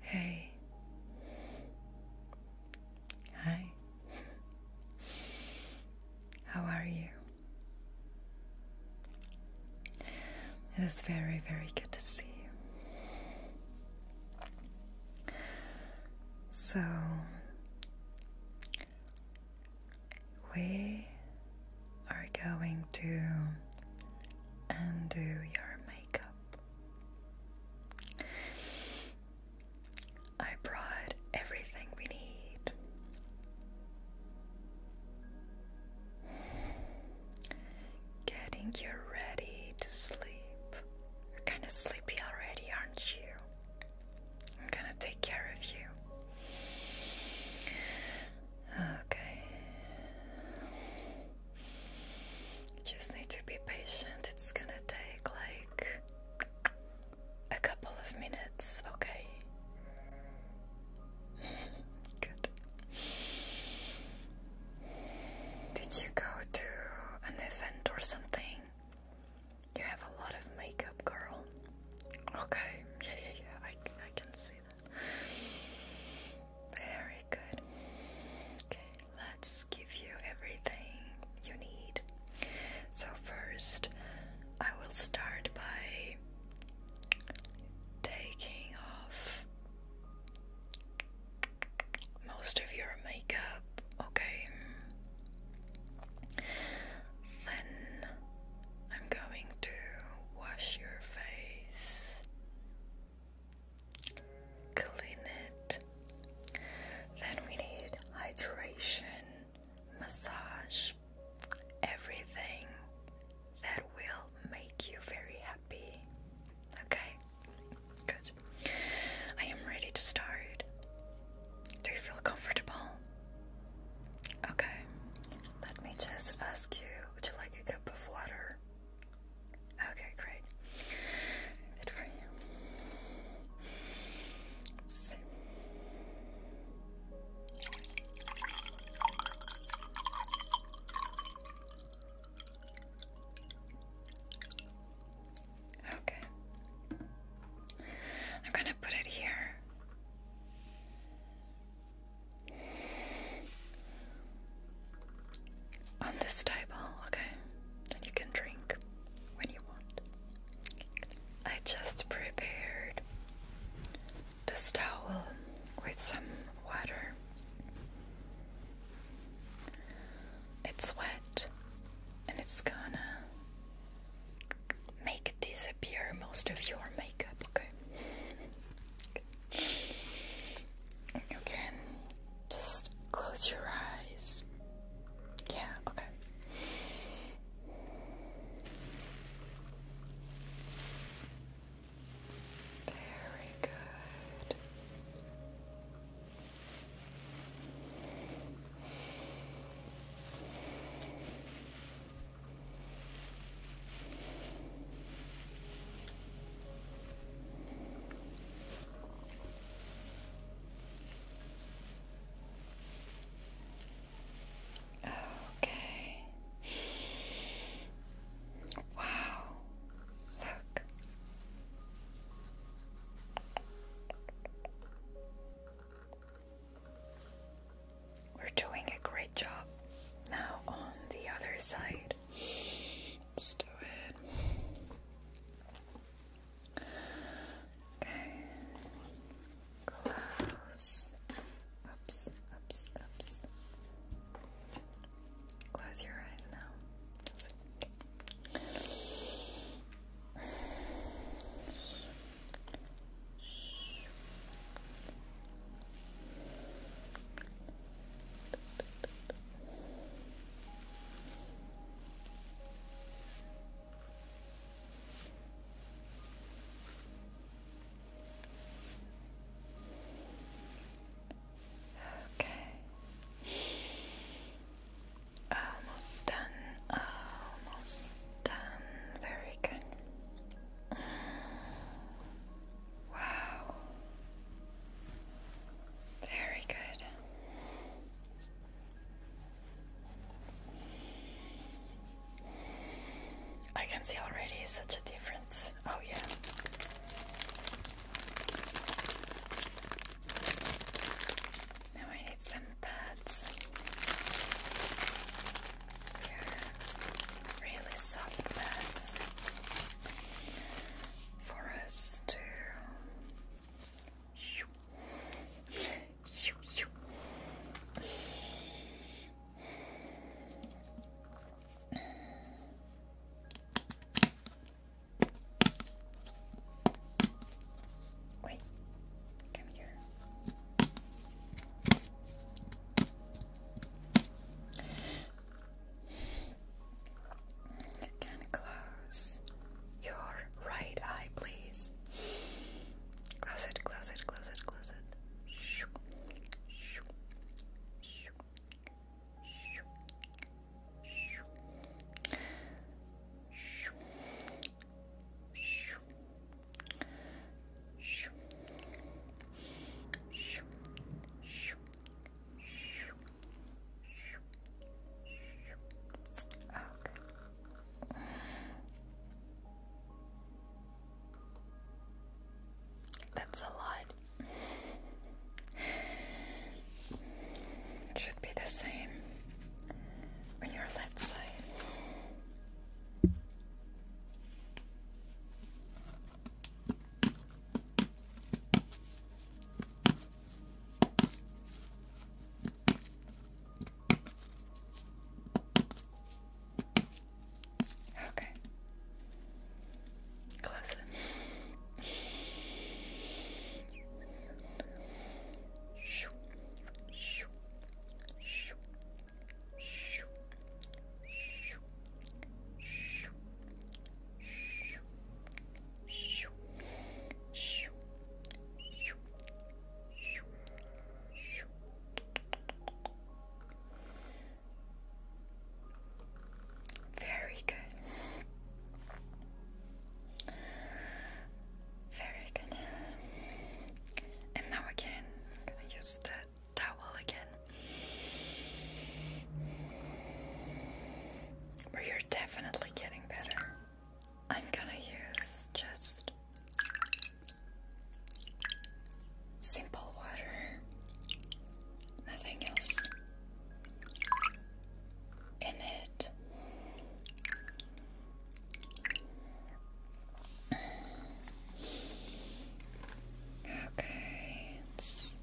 Hey. Hi. How are you? It is very, very good to see you. So, we are going to undo your makeup. I brought everything we need. Getting you ready to sleep. You're kind of sleepy already, aren't you? I'm gonna take care of you. Okay. Just need to be patient. It's gonna take like a couple of minutes, okay? Good. Did you go to an event or something? You have a lot of makeup, girl. Okay, yeah, yeah, yeah. I, I can see that. Very good. Okay, let's give you everything you need. So, first, I will start by taking off most of your makeup, okay? Then I'm going to wash your face, clean it. Then we need hydration, massage, everything that will make you very happy. Okay, good. I am ready to start. Do you feel comfortable? Okay, let me just ask you would you like a cup of water? Okay, great. Good for you. Okay. I'm going to put it here on this table, okay? And you can drink when you want. I just prepared this towel with some water. It's wet and it's gonna make disappear most of your makeup, okay? You can just close your eyes. Yeah, okay. Very good. Okay. Wow. Look. We're doing a great job. Now on the other side. Let's do it. Okay. Close. Oops, oops, oops. Close your eyes now. Okay. Almost done. Almost done. Very good. Wow. Very good. I can see already such a difference. Oh, yeah. Now I need some pads really soft bags for us to Wait, come here. Can close your right eye, please. Close it, close it, close it, close it. Shoo, shoo, shoo, shoo, shoo. Shoo, shoo, Okay. That's a lot. should be the same on your left side. Okay. Close it. Shoo, shoo, shoo, very good. Very good. And now again, I'm gonna use that towel again. But you're definitely getting better. I'm gonna use just simple water, nothing else in it. Okay, it's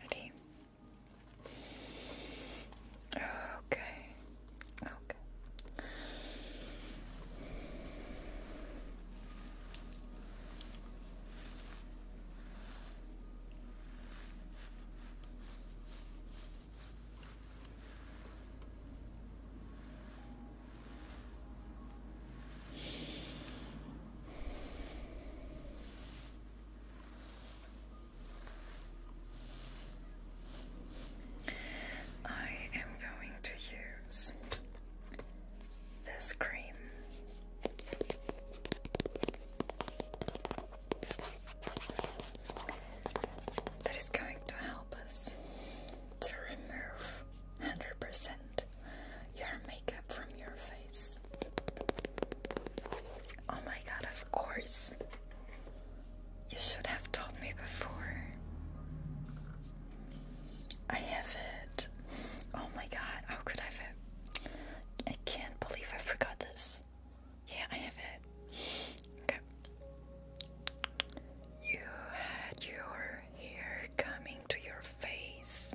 Ready? Okay. Okay. I am going to use this cream. That is going to help us to remove 100% your makeup from your face. Oh my god, of course. You should have told me before. I have it. Oh my god, how could I have I can't believe I forgot this. Yeah, I have it. Okay. You had your hair coming to your face.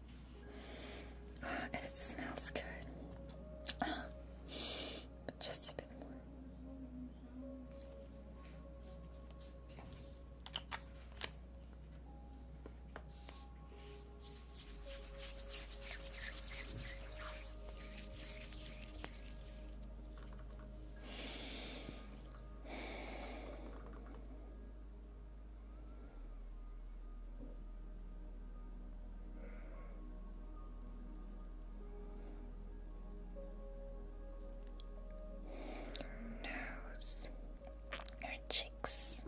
Uh, and it smells good. but just a bit more. nose, your cheeks.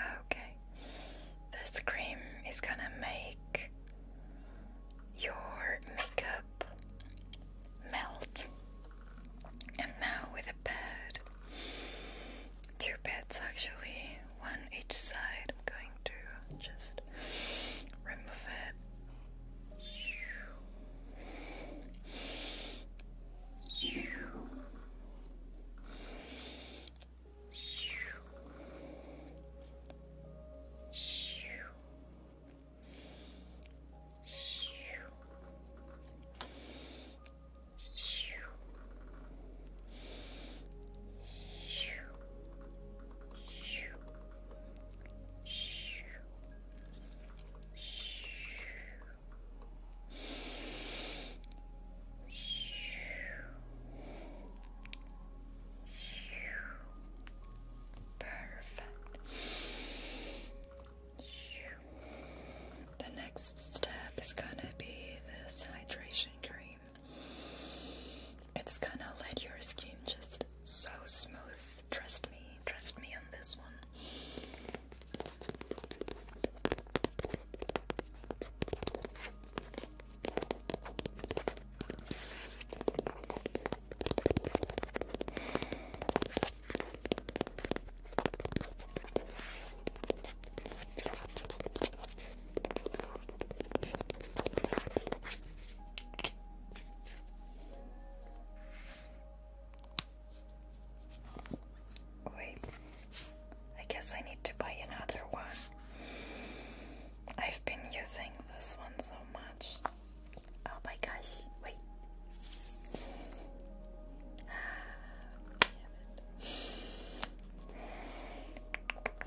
Okay, this cream is gonna make your makeup melt. And now with a pad, two pads actually, one each side. I'm going to just remove it. Perfect. The next step is going to be this hydration cream. It's gonna let your skin just so smooth. Trust me, trust me on this one. Wait, I guess I need to buy another one. I've been using this one so much. Oh my gosh, wait.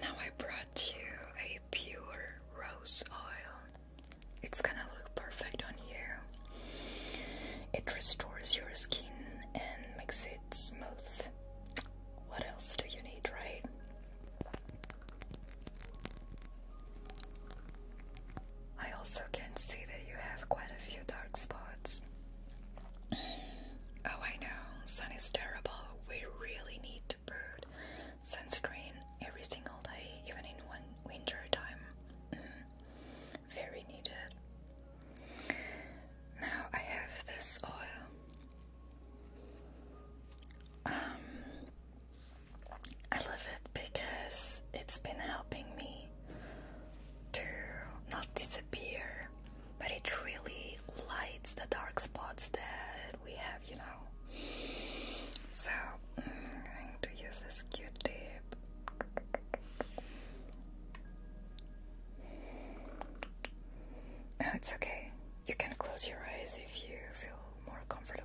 Now I brought you a pure rose oil. It's gonna look perfect on you. It restores your skin and makes it smooth. What else do you need, right? I also can see that you have quite a few dark spots. oh, I know, sun is terrible. We really need to put sunscreen every single day, even in winter time. Mm-hmm. Very needed. Now I have this oil. Um, I love it because it's been helping me to not disappear, but it really lights the dark spots that we have, you know. So mm, I'm going to use this cute tape. Oh, it's okay. You can close your eyes if you feel more comfortable.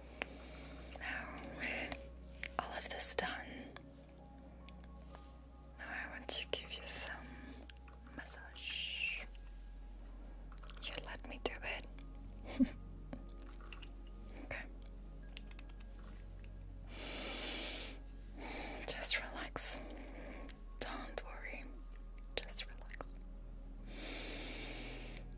Now all of this done, now I want to give you some massage. You let me do it. okay. Just relax. Don't worry. Just relax.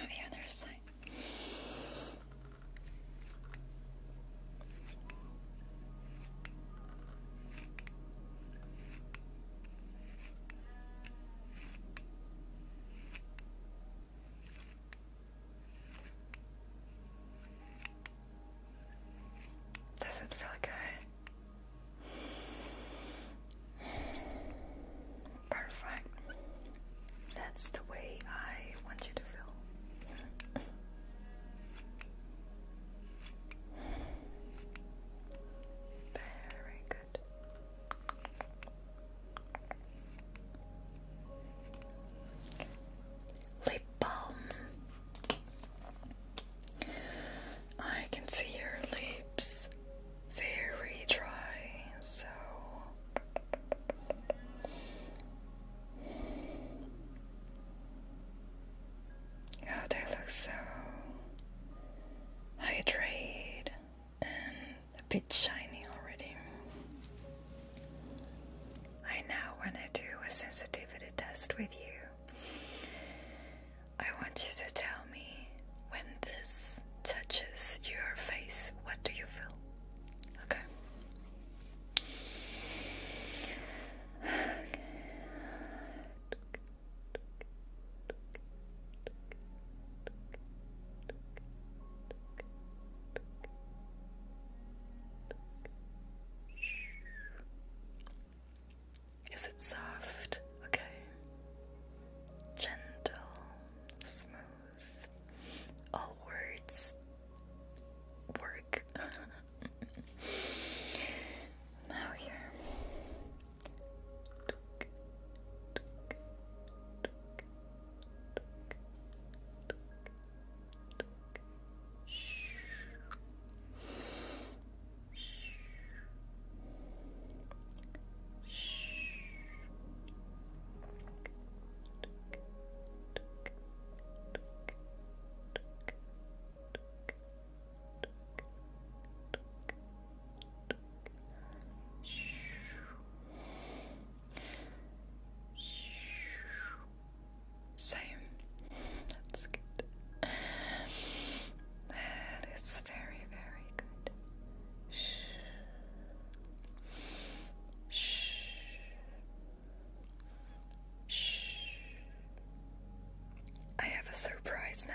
on the other side. Does it feel good? Perfect. That's the way I want you to feel. Very good. Lip balm. I can see your lips very dry, so oh, they look so hydrated and a bit shiny already. I now want to do a sensitivity test with you. I want you to tell me when this touches your face, what do you feel? Okay. okay. Is it soft? Okay. Gentle smooth. All words work. now here. Shh. Shh. Same. That's good. That is very, very good. Shh. Shh. Shh. I have a surprise now.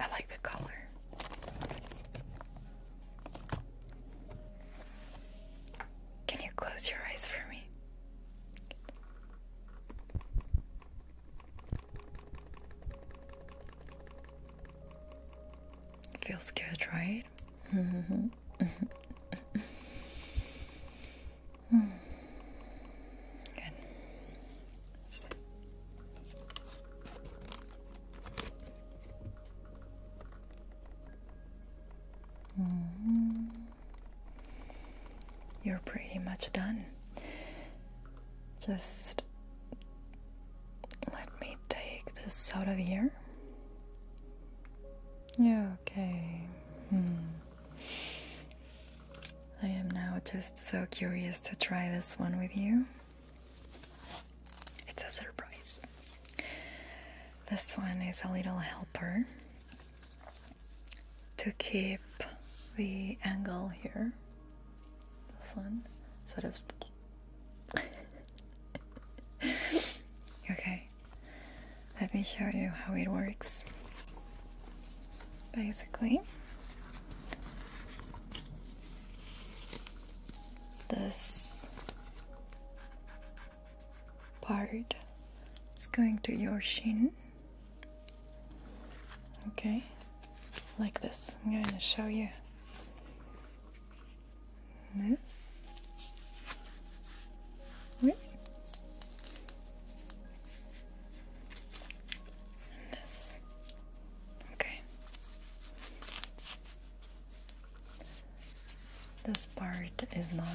I like the color. Can you close your eyes for me? Feels good, right? Good. Mm-hmm. You're pretty much done. Just let me take this out of here. Yeah, okay. Hmm. I am now just so curious to try this one with you. It's a surprise. This one is a little helper to keep the angle here. This one sort of. okay, let me show you how it works. Basically, this part is going to your shin. Okay, like this. I'm going to show you this. This. Okay. This part is not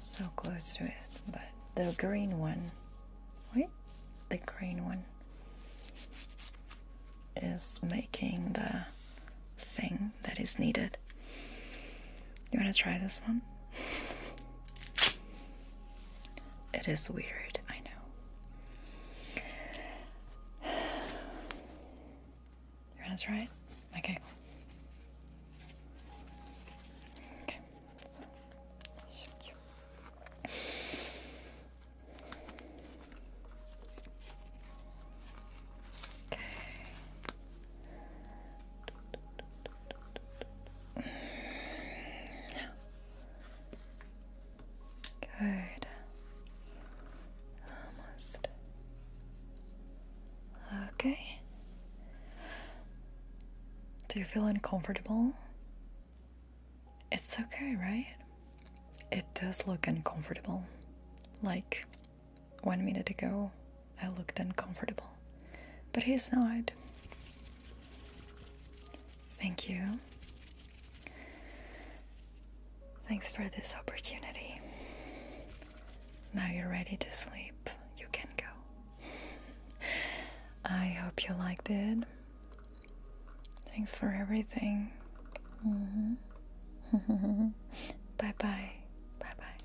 so close to it, but the green one, wait, the green one is making the thing that is needed. You want to try this one? It is weird, I know. That's right. Okay. Okay. So, okay. Good. Almost. Okay. Do you feel uncomfortable? It's okay, right? It does look uncomfortable. Like, one minute ago, I looked uncomfortable. But he's not. Thank you. Thanks for this opportunity. Now you're ready to sleep. You can go. I hope you liked it. Thanks for everything. Mm -hmm. bye bye. Bye bye.